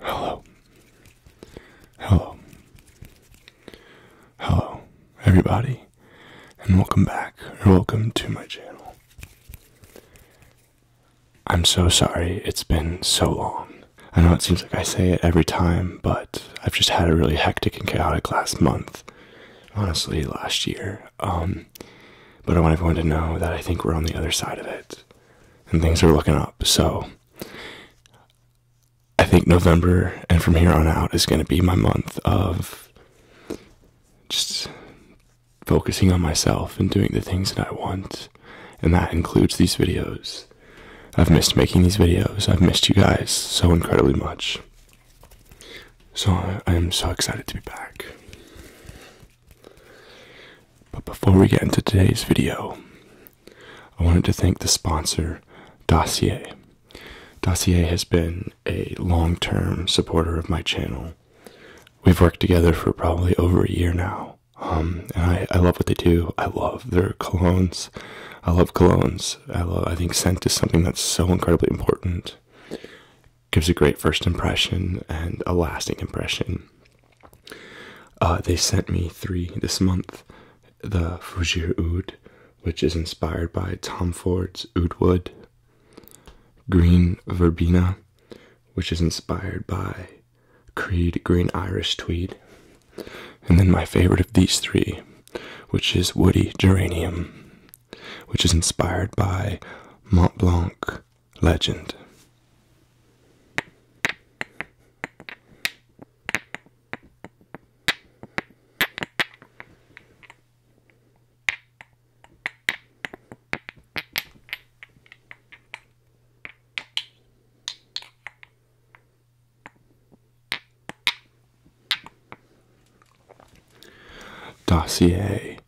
Hello. Hello. Hello, everybody, and welcome back, or welcome to my channel. I'm so sorry it's been so long. I know it seems like I say it every time, but I've just had a really hectic and chaotic last month. Honestly, last year. Um, but I want everyone to know that I think we're on the other side of it and things are looking up. So I think November and from here on out is going to be my month of just focusing on myself and doing the things that I want. And that includes these videos. I've missed making these videos. I've missed you guys so incredibly much. So I, am so excited to be back. But before we get into today's video, I wanted to thank the sponsor, Dossier. Dossier has been a long term supporter of my channel. We've worked together for probably over a year now. Um, and I, I love what they do. I love their colognes. I love colognes. I, love, I think scent is something that's so incredibly important gives a great first impression and a lasting impression. Uh, they sent me three this month the Fougère Oud, which is inspired by Tom Ford's Oud Wood, Green Verbena, which is inspired by Creed Green Irish Tweed, and then my favorite of these three, which is Woody Geranium which is inspired by Mont Blanc legend. Dossier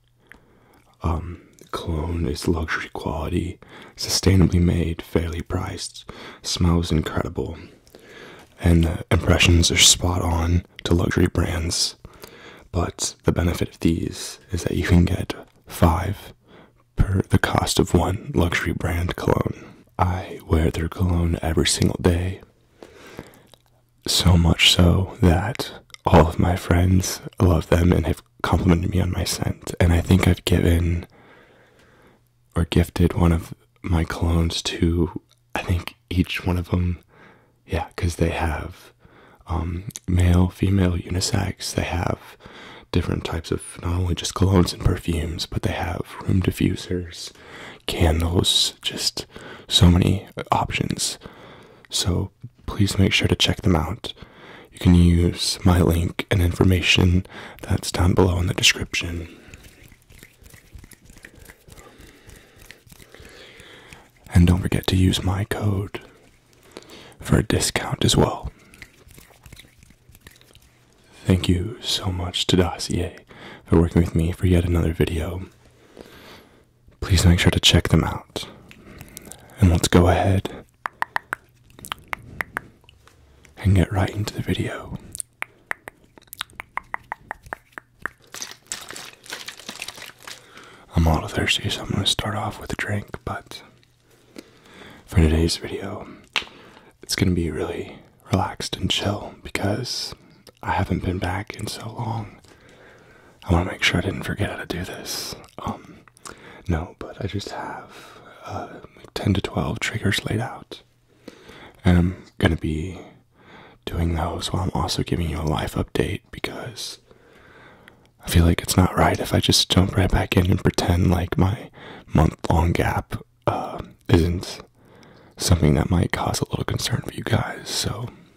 um, cologne is luxury quality, sustainably made, fairly priced, smells incredible, and uh, impressions are spot on to luxury brands. But the benefit of these is that you can get five per the cost of one luxury brand cologne. I wear their cologne every single day so much so that all of my friends love them and have complimented me on my scent. And I think I've given or gifted one of my clones to, I think, each one of them. Yeah, because they have um, male, female, unisex. They have different types of not only just colognes and perfumes, but they have room diffusers, candles, just so many uh, options. So please make sure to check them out. You can use my link and information that's down below in the description. And don't forget to use my code for a discount as well. Thank you so much to Dossier for working with me for yet another video please make sure to check them out. And let's go ahead and get right into the video. I'm a little thirsty, so I'm going to start off with a drink, but for today's video, it's going to be really relaxed and chill because I haven't been back in so long. I want to make sure I didn't forget how to do this. Um, no, but I just have uh, 10 to 12 triggers laid out. And I'm going to be doing those while I'm also giving you a life update because I feel like it's not right if I just jump right back in and pretend like my month long gap uh, isn't something that might cause a little concern for you guys. So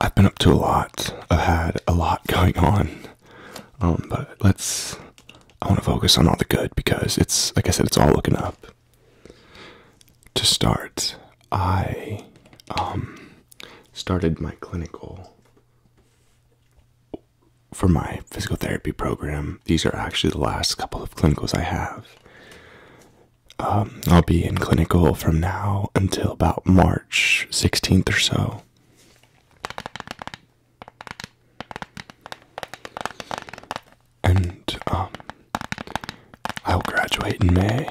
I've been up to a lot. I've had a lot going on. Um, but let's. I want to focus on all the good because it's, like I said, it's all looking up. To start, I um, started my clinical for my physical therapy program. These are actually the last couple of clinicals I have. Um, I'll be in clinical from now until about March 16th or so. And um, I'll graduate in May.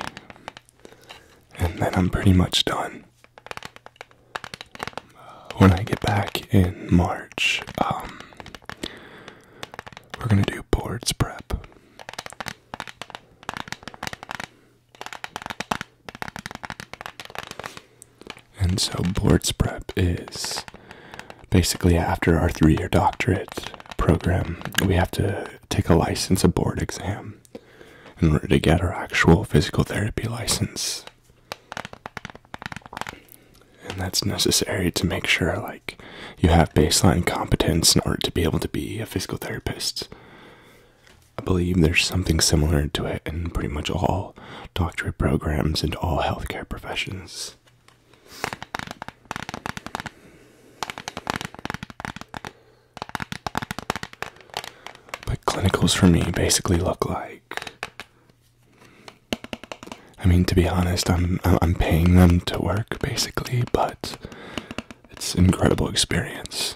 And then I'm pretty much done. When I get back in March, um, we're gonna do boards prep. And so, boards prep is basically after our three year doctorate program, we have to take a license, a board exam, in order to get our actual physical therapy license. And that's necessary to make sure, like, you have baseline competence in order to be able to be a physical therapist. I believe there's something similar to it in pretty much all doctorate programs and all healthcare professions. But clinicals for me basically look like I mean to be honest, I'm I'm paying them to work basically, but it's an incredible experience.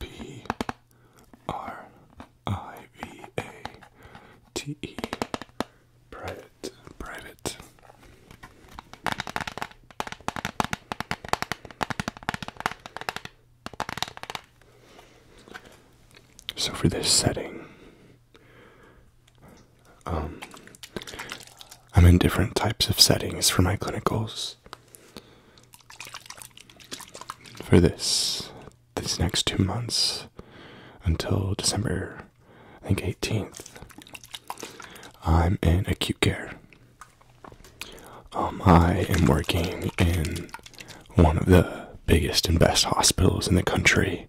P R I V A T E. Private. Private. So for this setting, um, I'm in different types of settings for my clinicals. For this these next two months until December, I think, 18th, I'm in acute care. Um, I am working in one of the biggest and best hospitals in the country,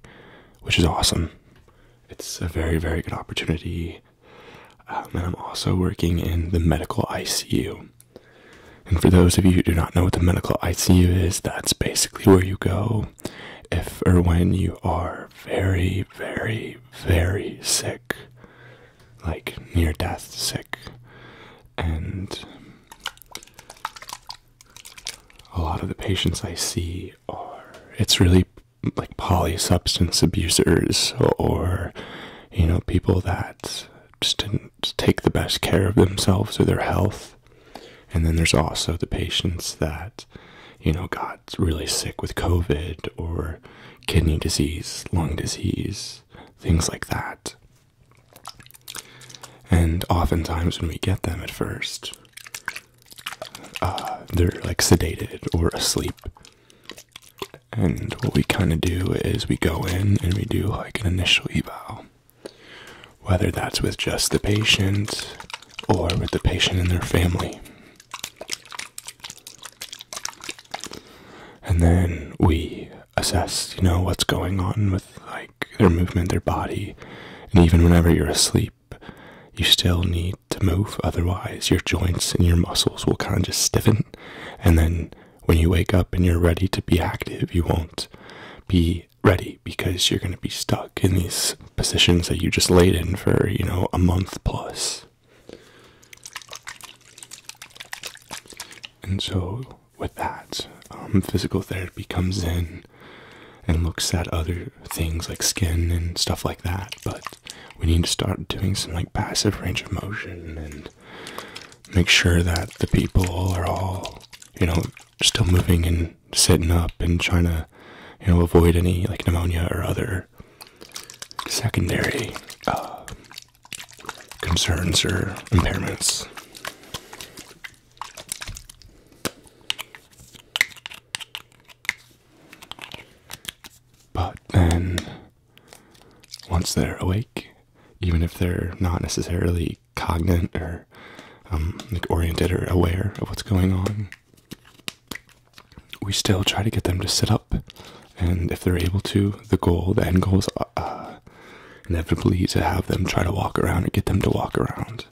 which is awesome. It's a very, very good opportunity. Um, and I'm also working in the medical ICU, and for those of you who do not know what the medical ICU is, that's basically where you go if or when you are very, very, very sick, like near death sick. And a lot of the patients I see are, it's really like poly substance abusers or, you know, people that just didn't take the best care of themselves or their health and then there's also the patients that, you know, got really sick with COVID or kidney disease, lung disease, things like that. And oftentimes, when we get them at first, uh, they're like sedated or asleep. And what we kind of do is we go in and we do like an initial eval whether that's with just the patient or with the patient and their family. And then we assess, you know, what's going on with like their movement, their body. And even whenever you're asleep, you still need to move. Otherwise, your joints and your muscles will kind of just stiffen. And then when you wake up and you're ready to be active, you won't be ready because you're going to be stuck in these positions that you just laid in for, you know, a month And so, with that, um, physical therapy comes in and looks at other things like skin and stuff like that, but we need to start doing some like passive range of motion and make sure that the people are all, you know, still moving and sitting up and trying to, you know, avoid any like pneumonia or other secondary uh, concerns or impairments. But then, once they're awake, even if they're not necessarily Cognant or um, oriented or aware of what's going on, we still try to get them to sit up. And if they're able to, the goal, the end goal is uh, uh, inevitably to have them try to walk around and get them to walk around.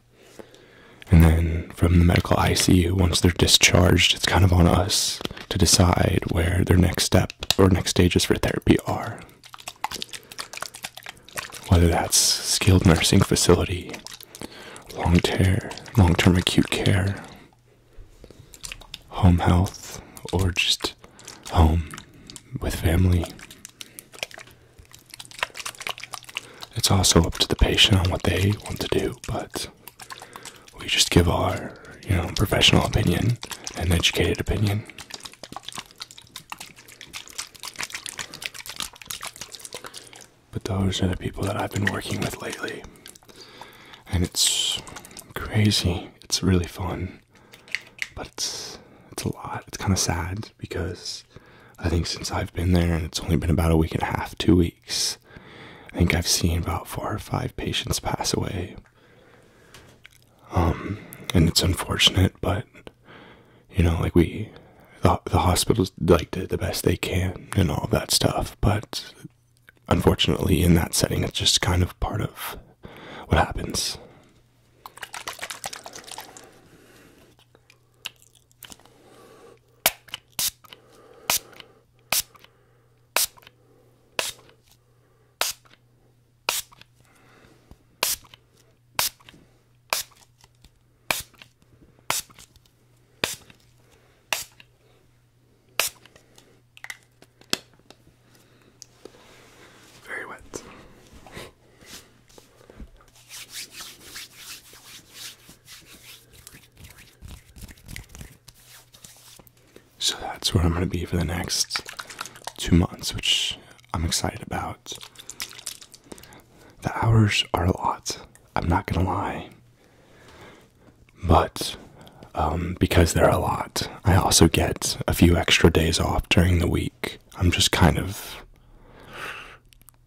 And then from the medical ICU, once they're discharged, it's kind of on us to decide where their next step or next stages for therapy are. Whether that's skilled nursing facility, long term, long term acute care, home health, or just home with family. It's also up to the patient on what they want to do, but we just give our, you know, professional opinion an educated opinion. But those are the people that I've been working with lately. And it's crazy. It's really fun. But it's a lot. It's kind of sad because I think since I've been there and it's only been about a week and a half, 2 weeks, I think I've seen about 4 or 5 patients pass away. Um, and it's unfortunate, but you know like we the, hospitals like did the best they can and all that stuff but unfortunately in that setting it's just kind of part of what happens very wet. So that's where I'm going to be for the next two months, which I'm excited about. The hours are a lot. I'm not gonna lie. But um, because they're a lot, I also get a few extra days off during the week. I'm just kind of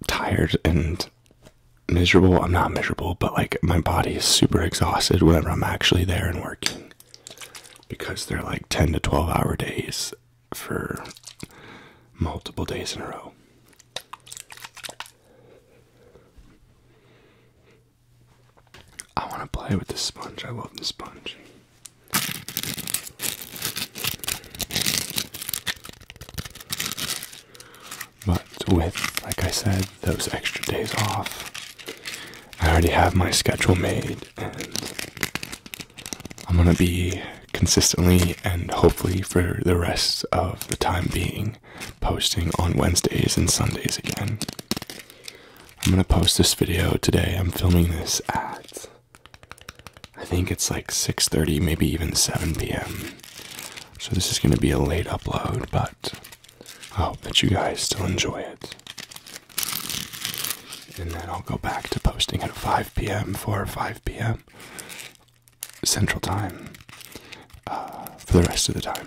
tired and miserable. I'm not miserable, but like my body is super exhausted whenever I'm actually there and working because they're like 10 to 12 hour days for multiple days in a row. I want to play with the sponge. I love the sponge. But with, like I said, those extra days off, I already have my schedule made, and I'm gonna be consistently and hopefully for the rest of the time being posting on Wednesdays and Sundays again. I'm gonna post this video today. I'm filming this at I think it's like 6:30, maybe even 7 p.m. So this is gonna be a late upload, but I hope that you guys still enjoy it. And then I'll go back to posting at 5 p.m. four or 5 p.m. Central Time uh, for the rest of the time.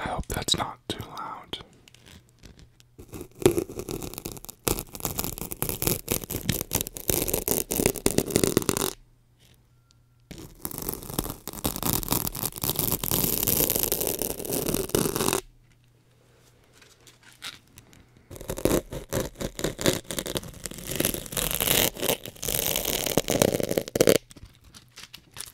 I hope that's not not too loud.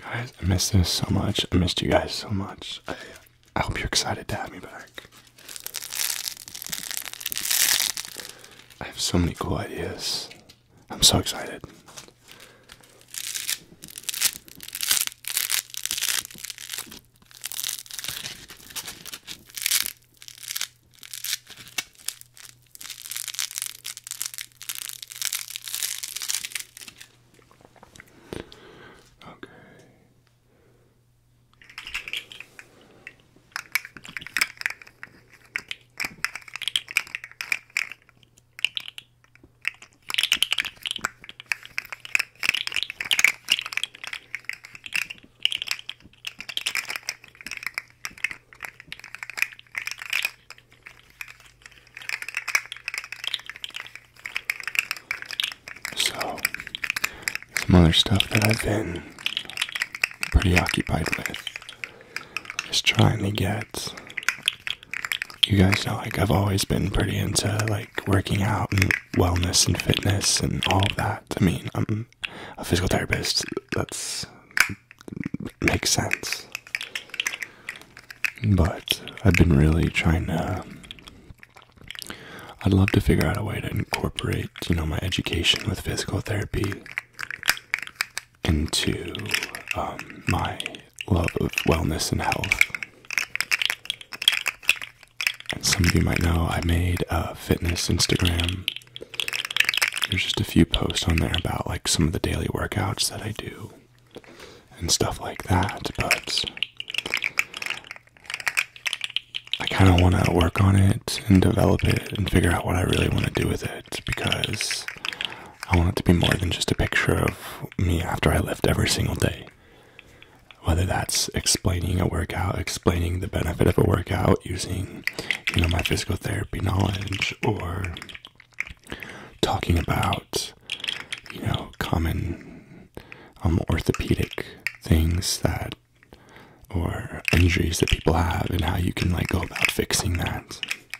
Guys, I missed this so much. I missed you guys so much. I, I hope you're excited to have me back. I have so many cool ideas. I'm so excited. Okay. So, some other stuff that I've been pretty occupied with just trying to get. You guys know, like, I've always been pretty into, like, working out and wellness and fitness and all of that. I mean, I'm a physical therapist. That's. makes sense. But I've been really trying to. I'd love to figure out a way to incorporate, you know, my education with physical therapy into um, my love of wellness and health. And some of you might know I made a fitness Instagram. There's just a few posts on there about like some of the daily workouts that I do and stuff like that, but I kind of want to work on it and develop it and figure out what I really want to do with it because I want it to be more than just a picture of me after I lift every single day. Whether that's explaining a workout, explaining the benefit of a workout using, you know, my physical therapy knowledge, or talking about, you know, common um, orthopedic things that, or injuries that people have, and how you can like go about fixing that.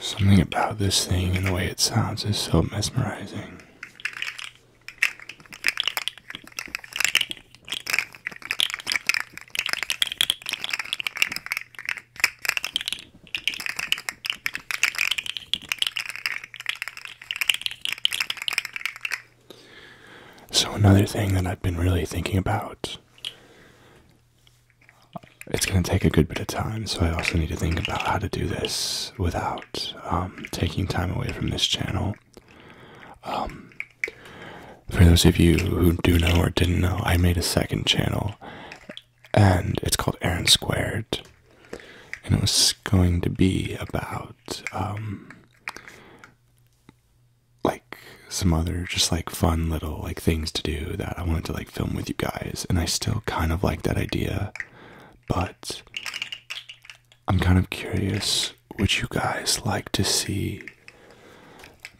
Something about this thing and the way it sounds is so mesmerizing. So, another thing that I've been really thinking about, it's going to take a good bit of time, so I also need to think about how to do this without um, taking time away from this channel. Um, for those of you who do know or didn't know, I made a second channel and it's called Aaron Squared, and it was going to be about um, like some other just like fun little like things to do that I wanted to like film with you guys, and I still kind of like that idea, but I'm kind of curious would you guys like to see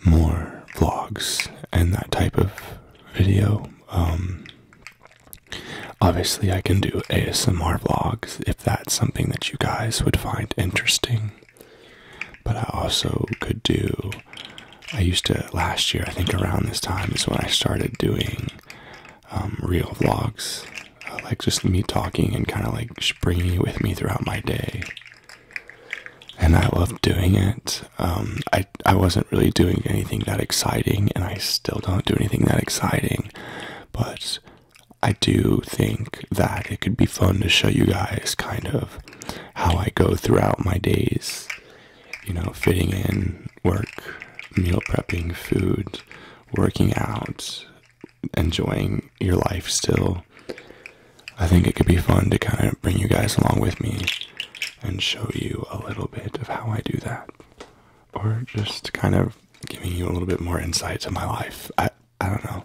more vlogs and that type of video um, obviously, I can do ASMR vlogs if that's something that you guys would find interesting. But I also could do. I used to last year, I think around this time is when I started doing um, real vlogs, uh, like just me talking and kind of like bringing you with me throughout my day. And I love doing it. Um, I I wasn't really doing anything that exciting, and I still don't do anything that exciting, but I do think that it could be fun to show you guys kind of how I go throughout my days. You know, fitting in work, meal prepping, food, working out, enjoying your life still. I think it could be fun to kind of bring you guys along with me and show you a little bit of how I do that, or just kind of giving you a little bit more insight to my life. I I don't know.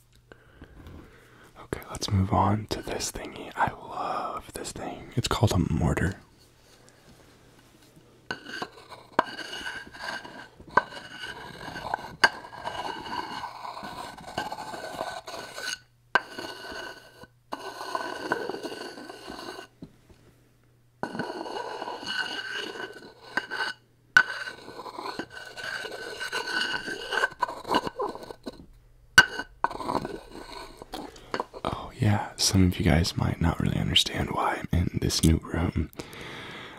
Okay, let's move on to this thingy. I love this thing. It's called a mortar. Oh, yeah, some of you guys might not really understand why I'm in this new room.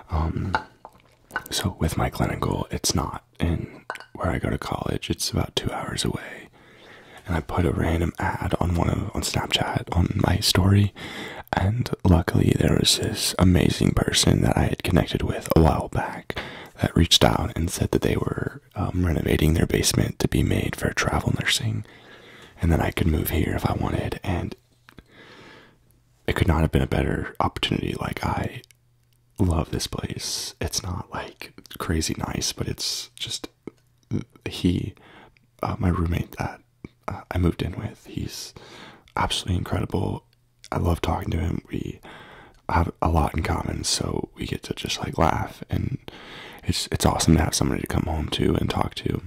Um, so, with my clinical, it's not in where I go to college, it's about two hours away. And I put a random ad on one on Snapchat on my story, and luckily there was this amazing person that I had connected with a while back that reached out and said that they were um, renovating their basement to be made for travel nursing and then I could move here if I wanted and it could not have been a better opportunity like I love this place it's not like crazy nice but it's just he uh, my roommate that uh, I moved in with he's absolutely incredible I love talking to him. We have a lot in common, so we get to just like laugh, and it's it's awesome to have somebody to come home to and talk to.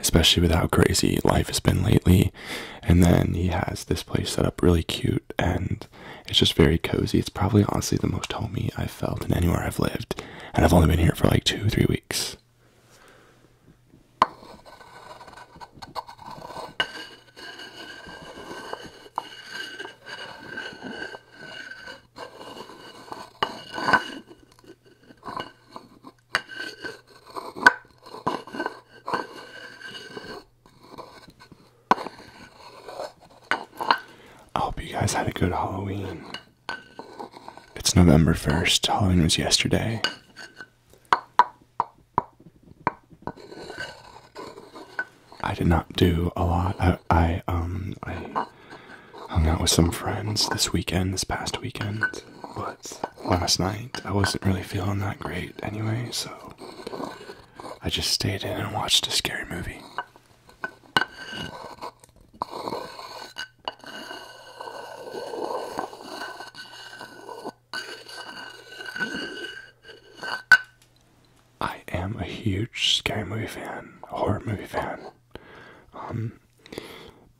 Especially with how crazy life has been lately, and then he has this place set up really cute, and it's just very cozy. It's probably honestly the most homey I've felt in anywhere I've lived, and I've only been here for like two, three weeks. I hope you guys had a good Halloween. It's November 1st. Halloween was yesterday. I did not do a lot. I, um I hung out with some friends this weekend, this past weekend, but last night I wasn't really feeling that great anyway, so I just stayed in and watched a scary movie. I am a huge scary movie fan, horror movie fan. Um,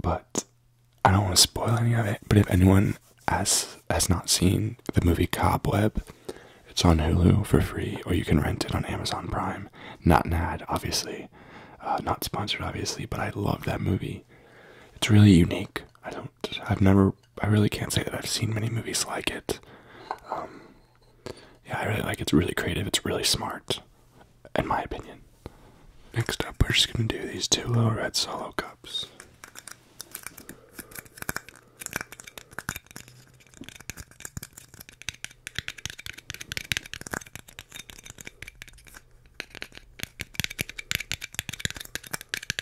but I don't want to spoil any of it. But if anyone has has not seen the movie Cobweb, it's on Hulu for free, or you can rent it on Amazon Prime. Not an ad, obviously, uh, not sponsored, obviously. But I love that movie. It's really unique. I don't. I've never I really can't say that I've seen many movies like it. Um, yeah, I really like It's really creative. It's really smart, in my opinion. Next up, we're just gonna do these two little red solo cups.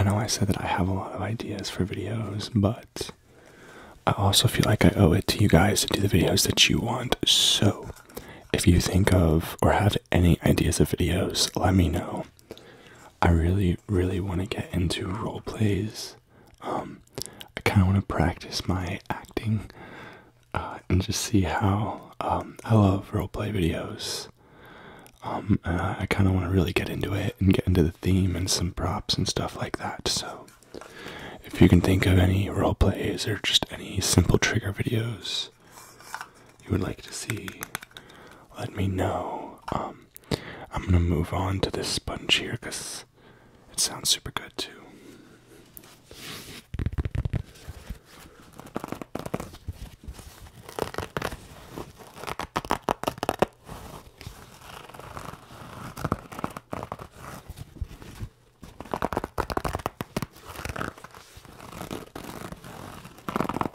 I know I said that I have a lot of ideas for videos, but I also feel like I owe it to you guys to do the videos that you want. So, if you think of or have any ideas of videos, let me know. I really, really want to get into role plays. Um, I kind of want to practice my acting uh, and just see how. Um, I love role play videos. Um, I kind of want to really get into it and get into the theme and some props and stuff like that. So, if you can think of any role plays or just any simple trigger videos you would like to see, let me know. Um, I'm gonna move on to this sponge here because it sounds super good too.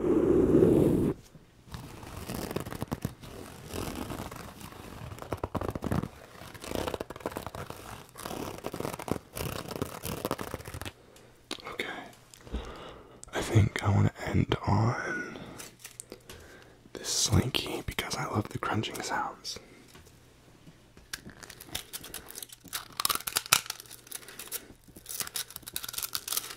Okay. I think I want to end on this slinky because I love the crunching sounds.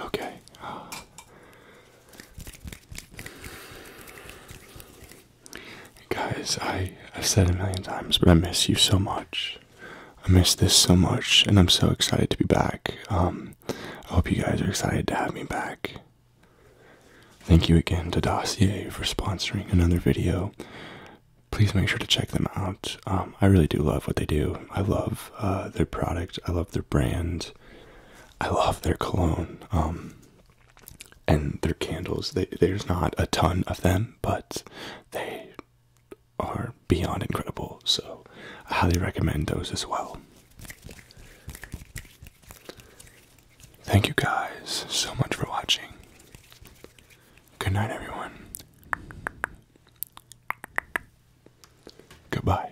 Okay. guys, I I've said a million times, but I miss you so much. I miss this so much, and I'm so excited to be back. Um, I hope you guys are excited to have me back. Thank you again to Dossier for sponsoring another video. Please make sure to check them out. Um, I really do love what they do. I love uh, their product. I love their brand. I love their cologne um, and their candles. there's not a ton of them, but they are beyond incredible. So I highly recommend those as well. Thank you guys so much for watching. Good night, everyone. Goodbye.